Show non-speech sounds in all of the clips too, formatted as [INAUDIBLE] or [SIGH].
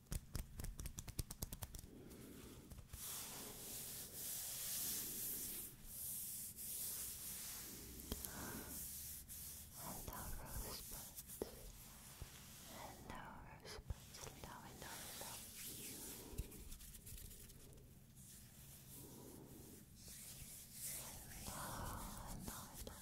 Hello, rosebuds. Hello, rosebuds. Hello, hello, hello. Hello, hello, hello.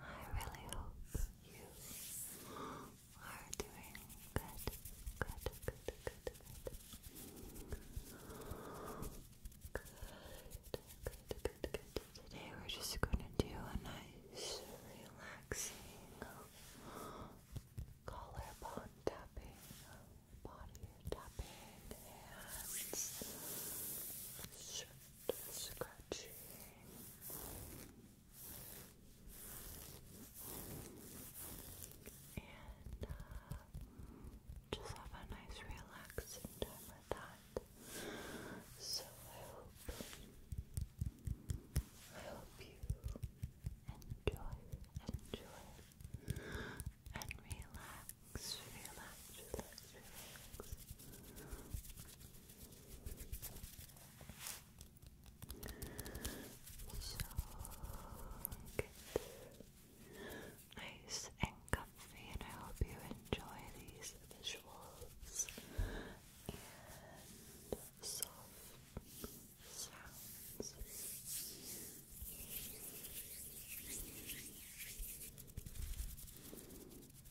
I really hope you are doing good, good, good, good, good. Today we're just gonna do a nice, relaxing collarbone tapping, body tapping, and scratching. And uh, just have a nice relaxing time with that. So I hope I hope you enjoy, enjoy, and relax, relax, relax, relax. So Nice and comfy, and I hope you enjoy these visuals and sounds.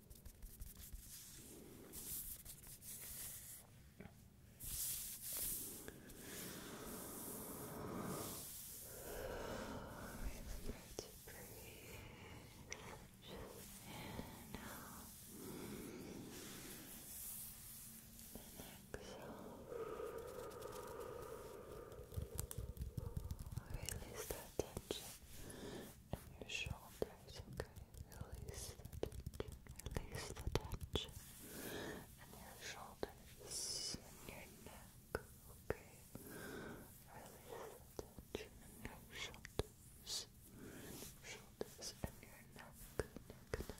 Remember to breathe in out. exhale. Release that tension on your shoulders, okay? Release the tension, release your shoulders, in your neck, okay? Release the tension shoulders, shoulders, and your neck, neck, neck, neck.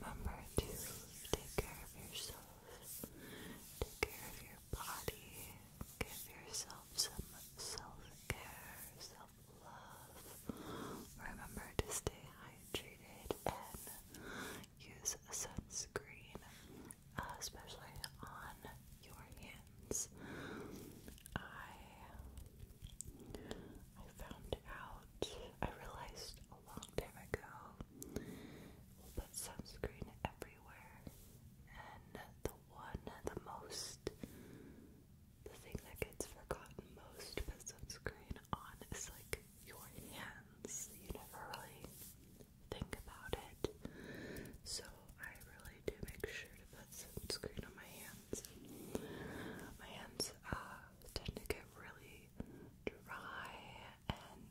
Remember to take care of yourself, take care of your body, give yourself some self care, Remember to stay hydrated and use sunscreen, especially on your hands. I I found out I realized a long time ago that sunscreen everywhere and the one the most the thing that gets forgotten most but sunscreen on like your hands. You never really think about it. So I really do make sure to put sunscreen on my hands. My hands uh, tend to get really dry and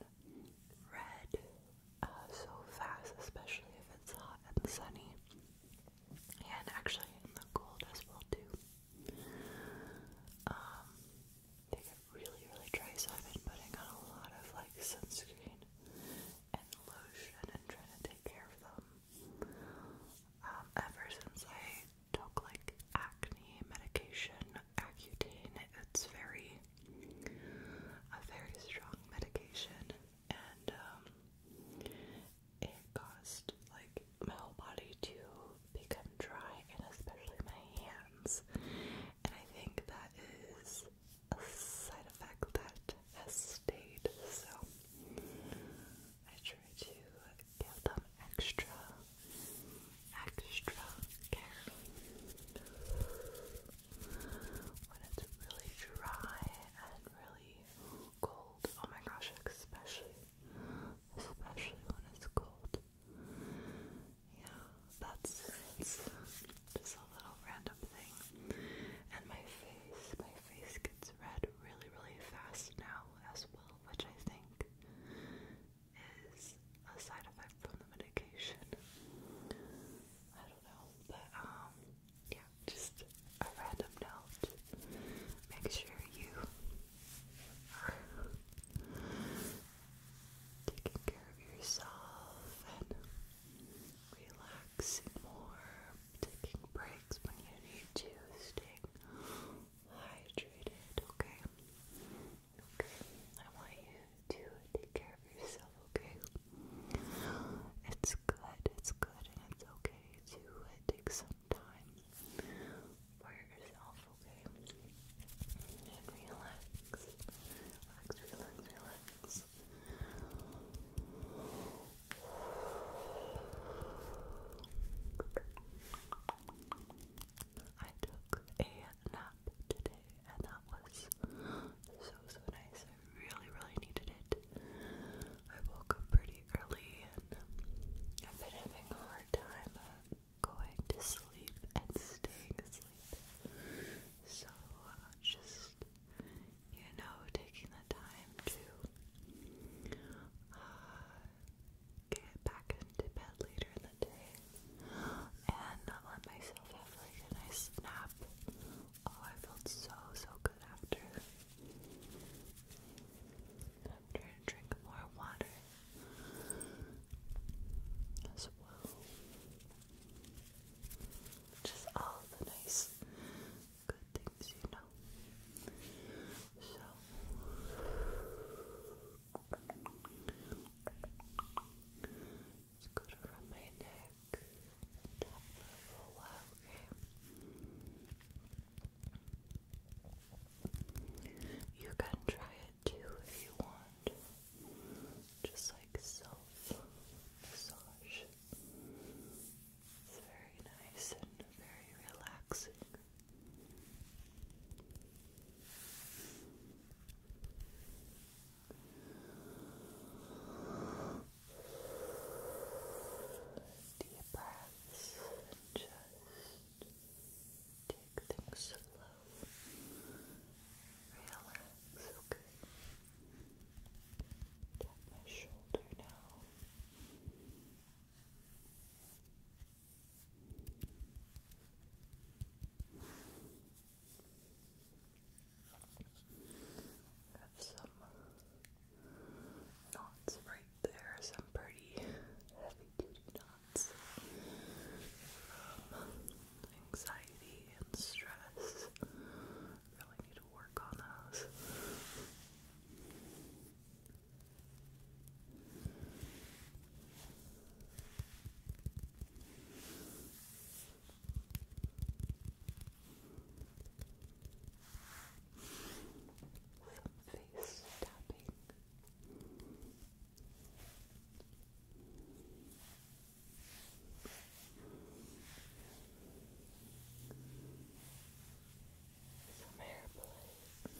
red uh, so fast, especially if it's hot and sunny. And actually in the cold as well too. Um, they get really, really dry, so I've been putting on a lot of like sunscreen and lotion and trying to take care of them. Um, ever since I took like acne medication, Accutane, it's very a very strong medication, and um, it caused like my whole body to become dry and especially my hands. And I think that is a side effect that has stayed. So I try to give them extra, extra care. When it's really dry and really cold, oh my gosh, especially especially when it's cold. Yeah, that's just a little random thing. And my face, my face gets red really, really fast now as well, which I think is a side effect from the medication. I don't know, but um, yeah, just a random note. Make sure you taking care of yourself and relaxing more, taking breaks when you need to, staying hydrated, okay? Okay, I want you to take care of yourself, okay? It's good, it's good, and it's okay to uh, take some time for yourself, okay? And relax. Relax, relax, relax. I took a nap today and that was so so nice. I really really needed it. I woke up pretty early and I've been having a hard time uh, going to sleep and staying asleep. So uh, just, you know, taking the time to uh, get back into bed later in the day and let myself have like a nice nap. Oh, I felt so, so good after. I'm trying to drink more water as well. Just all the nice, good things, you know. So, it's good around my neck. You can try it too if you want. Just like self massage. It's very nice and very relaxing. Deep breaths just Take things slow. Relax, okay? Tap my shoulder now. Have some knots right there, some pretty heavy duty knots um, anxiety and stress. Really need to work on those. Some face tapping. Some hair play. Some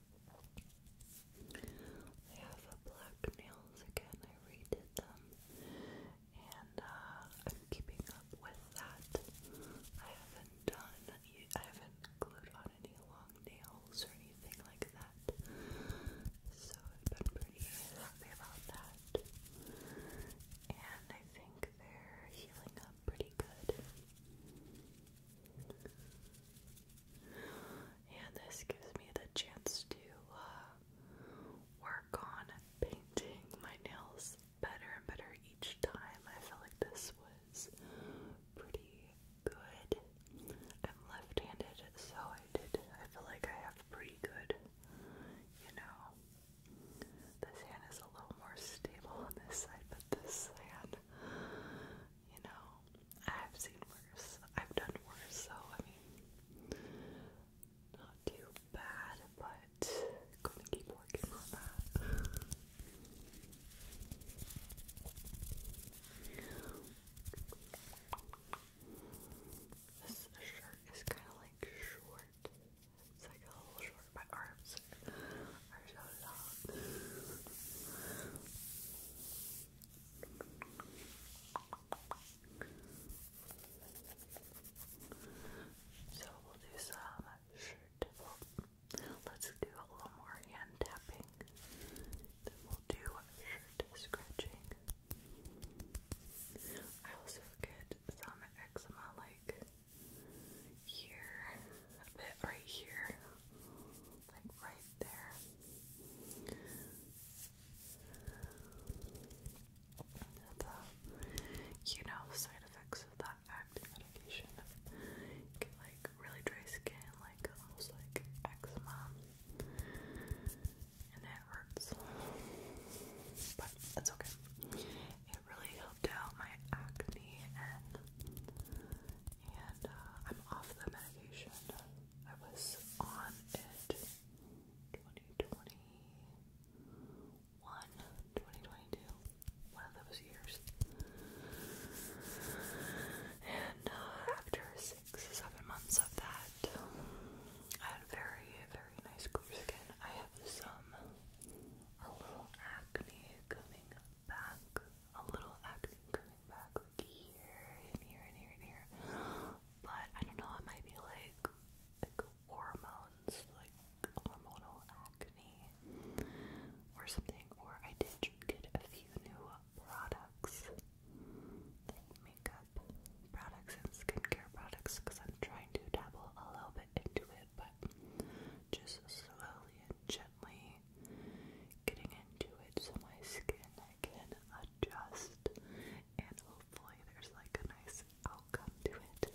I have black nails again. I redid them, and uh, I'm keeping up with that. I haven't done. I haven't glued on any long nails or anything like that, so I've been pretty happy about that. And I think they're healing up pretty good and this gives me the chance to uh, work on painting my nails better and better each time. I felt like this was pretty good. I'm left-handed, so I did. I feel like I have pretty good, you know. This hand is a little more stable on this side, but this hand you know, I've seen worse. I've done worse, so I mean, not too bad, but gonna keep working on that. This shirt is kind of like short. It's like a little short. My arms are so long. So we'll do some shirt. Let's do a little more hand tapping. Then we'll do shirt scratching. I also get some eczema like here, a bit right here like right there. The, uh, you know, side effects of that active medication. like really dry skin, like almost like eczema, and it hurts. But that's okay. It really helped out my acne, and and uh, I'm off the medication. I was on it 2021, 2022, one of those years. And uh, after six, seven months of that, um, I had very, very nice clear skin. I have some, a little acne coming back, a little acne back here and here and here and here. But I don't know, it might be like hormones, like hormonal acne or something. Or I did get a few new products. Like makeup products and skincare products because I'm trying to dabble a little bit into it, but just slowly and gently getting into it so my skin can adjust and hopefully there's like a nice outcome to it.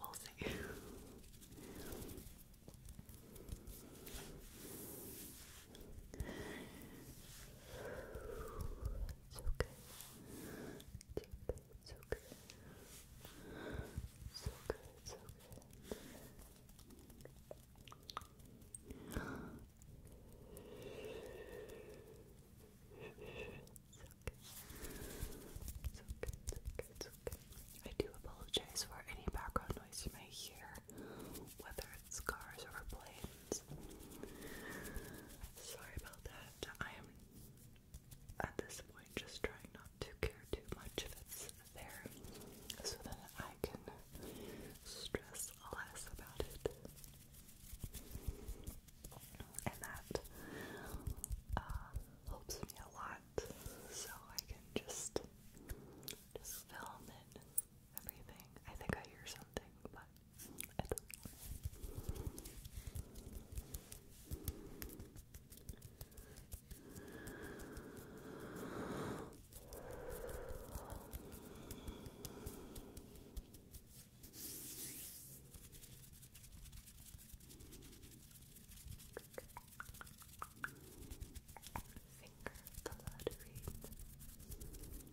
We'll see. It's okay. It's okay. It's okay. It's okay. It's I do apologize for any background noise you may hear, whether it's cars or planes. Sorry about that. I am at this point just trying not to care too much if it's there so that I can stress less about it. And that uh, helps me a lot so I can just just film it everything. I think I hear something, but Finger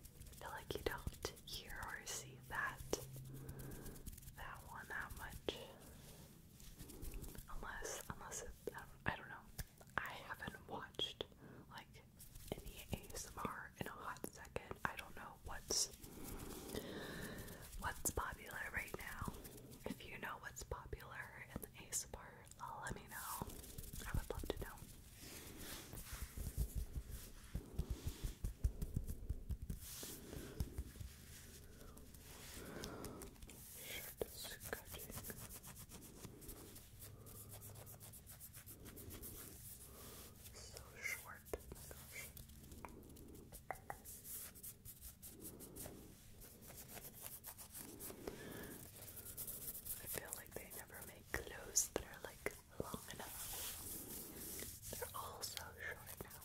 I feel like you don't hear or see that that one that much, unless unless I don't know. I haven't watched like any ASMR in a hot second. I don't know what's what's popular right now. If you know what's popular in the ASMR, let me know. I would love to know. Shit, scratching. So short, I feel like they never make clothes that are like long enough. They're all so short now.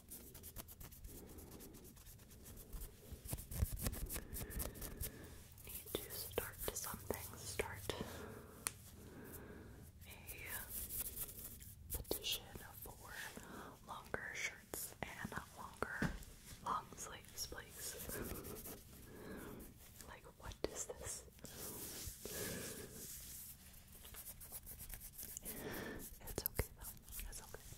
Need to start something. Start a petition for longer shirts and longer long sleeves, please. like, what is this? It's okay though. It's okay.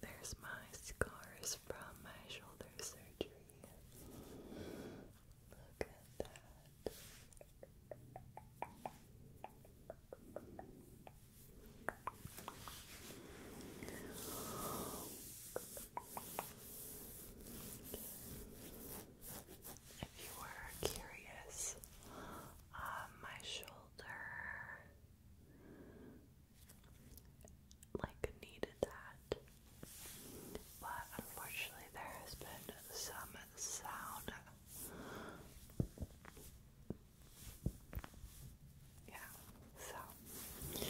There's my scars from my shoulder surgery. Look at that. If you were curious my shoulder like needed that. But unfortunately there has been some sound. Yeah, so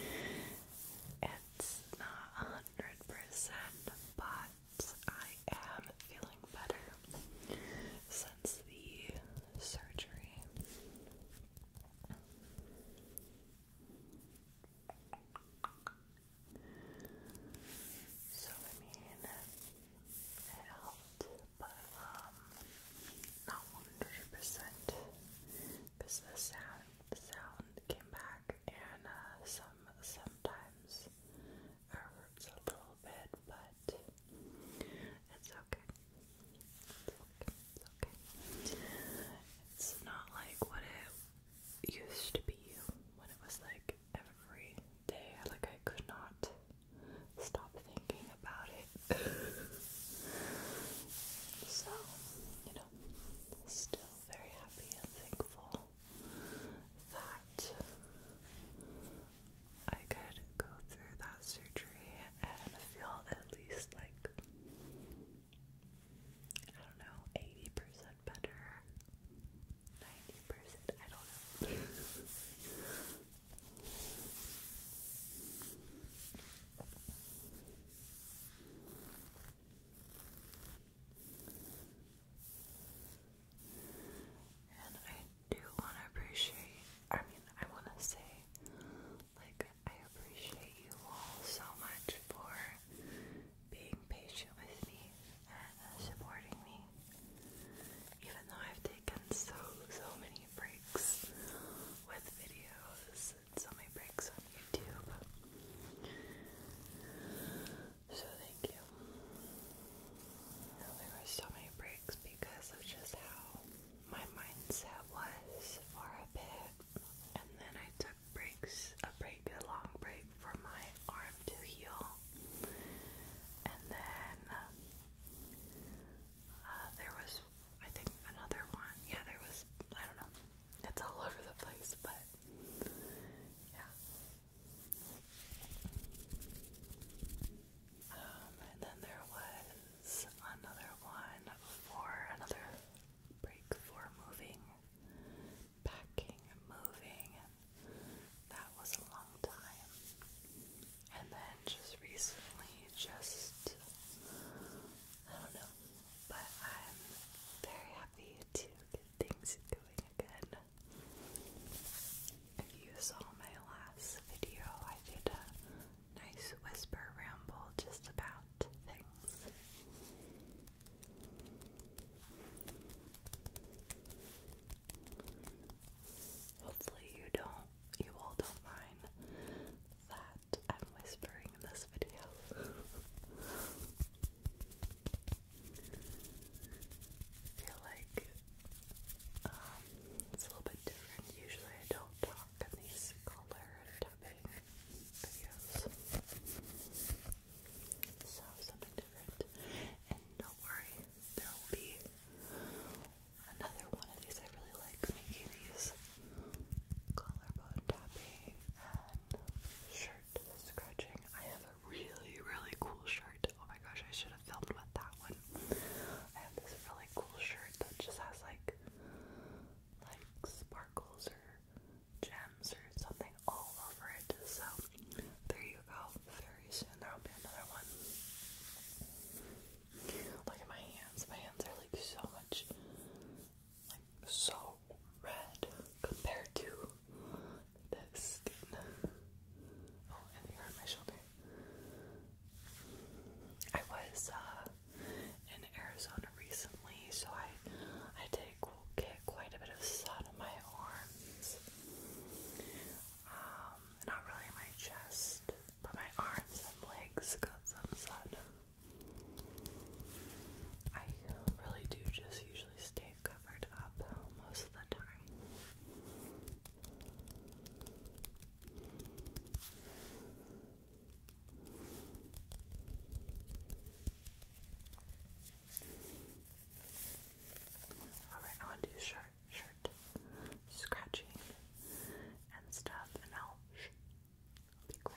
it's not a hundred percent, but I am feeling better since the surgery. So I mean, helped, but um, not one hundred percent, because the sound, sound came back, and uh, some sometimes it hurts a little bit, but it's okay. It's okay. It's okay. It's not like what it used to be when it was like every day. Like I could not stop thinking about it. [LAUGHS] so, you know, still very happy and thankful that I could go through that surgery and feel at least like I don't know, eighty percent better, ninety percent. I don't know. And I do want to appreciate, I mean, I want to say, like, I appreciate you all so much for being patient with me and supporting me. Even though I've taken so, so many breaks with videos so many breaks on YouTube. So thank you. there were so many breaks because of just how my mindset was for a bit. And then I took breaks, a break, a long break for my arm to heal. And then uh, uh, there was, I think, another one. Yeah, there was, I don't know. It's all over the place, but yeah. Um, and then there was another one for another break for moving, packing, moving. That was a long time. And then just recently, just I don't know, but I'm very happy to get things going if you saw my last video, I did a nice whisper ramble just about things. Hopefully you don't you all don't mind that I'm whispering in this video. [LAUGHS] feel like um, it's a little bit different. Usually I don't talk in these color tapping videos. So something different. And don't worry, there will be another one of these. I really like making these collarbone tapping and shirt scratching. I have really, really cool shirt. Oh my gosh, I should have filmed with that one. I have this really cool shirt that just has like like sparkles or gems or something all over it. So there you go. Very soon there'll be another one. Look at my hands. My hands are like so much like so red compared to the skin. Oh, and they hurt my shoulder. I was uh, in Arizona recently, so I I did get quite a bit of sun on my arms. Um, not really my chest, but my arms and legs got some sun. I really do just usually stay covered up most of the time. Alright, I want to do shirt, shirt scratching and stuff, and I'll, be great.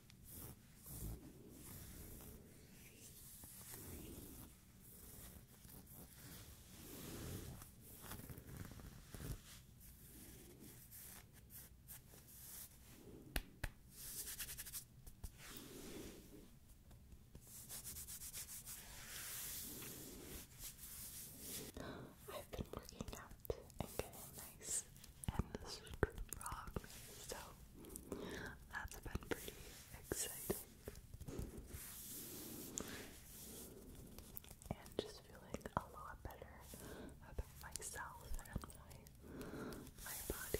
I've been working out and getting nice and this is so that's been pretty exciting. And just feeling a lot better about myself and my my body.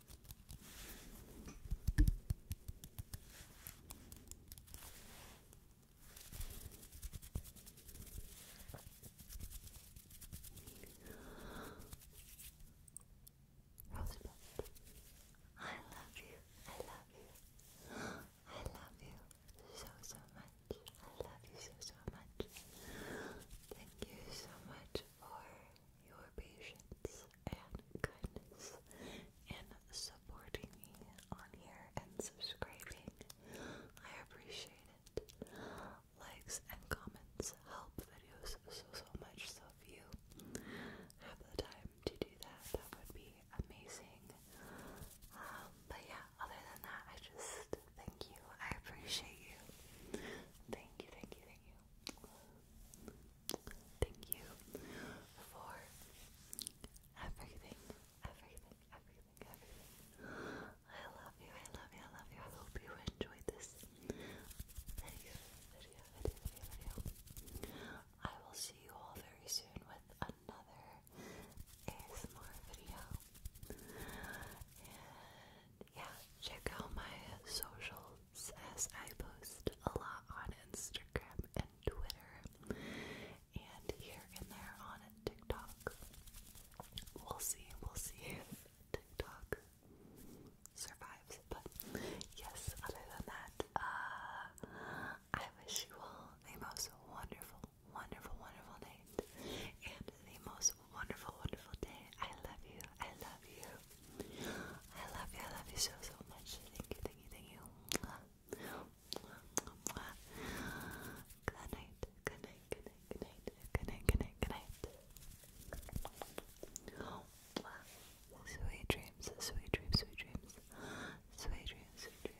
Rosebud, I love you, I love you, I love you so, so much. I love you so, so much. Thank you so much for your patience and kindness in supporting me on here and subscribing. I appreciate it. Likes and comments help videos so so much, so if you have the time to do that, that would be amazing. Um, but yeah, other than that, I just thank you. I appreciate you. Thank you, thank you, thank you. Thank you for everything, everything, everything, everything. I love you, I love you, I love you. I hope you enjoyed this video, video, video, video, video. I will see you all very soon with another ASMR video. And yeah, check out my socials says I post a lot on Instagram and Twitter and here and there on TikTok. We'll see, we'll see if TikTok survives. But yes, other than that, uh, I wish you all the most wonderful, wonderful, wonderful night and the most wonderful, wonderful day. I love you, I love you. I love you, I love you so, so much. Thank you, thank you, thank you. Good night, good night, good night, good night, good night, good night, good night. Sweet dreams, sweet dreams, sweet dreams. Sweet dreams, sweet dreams.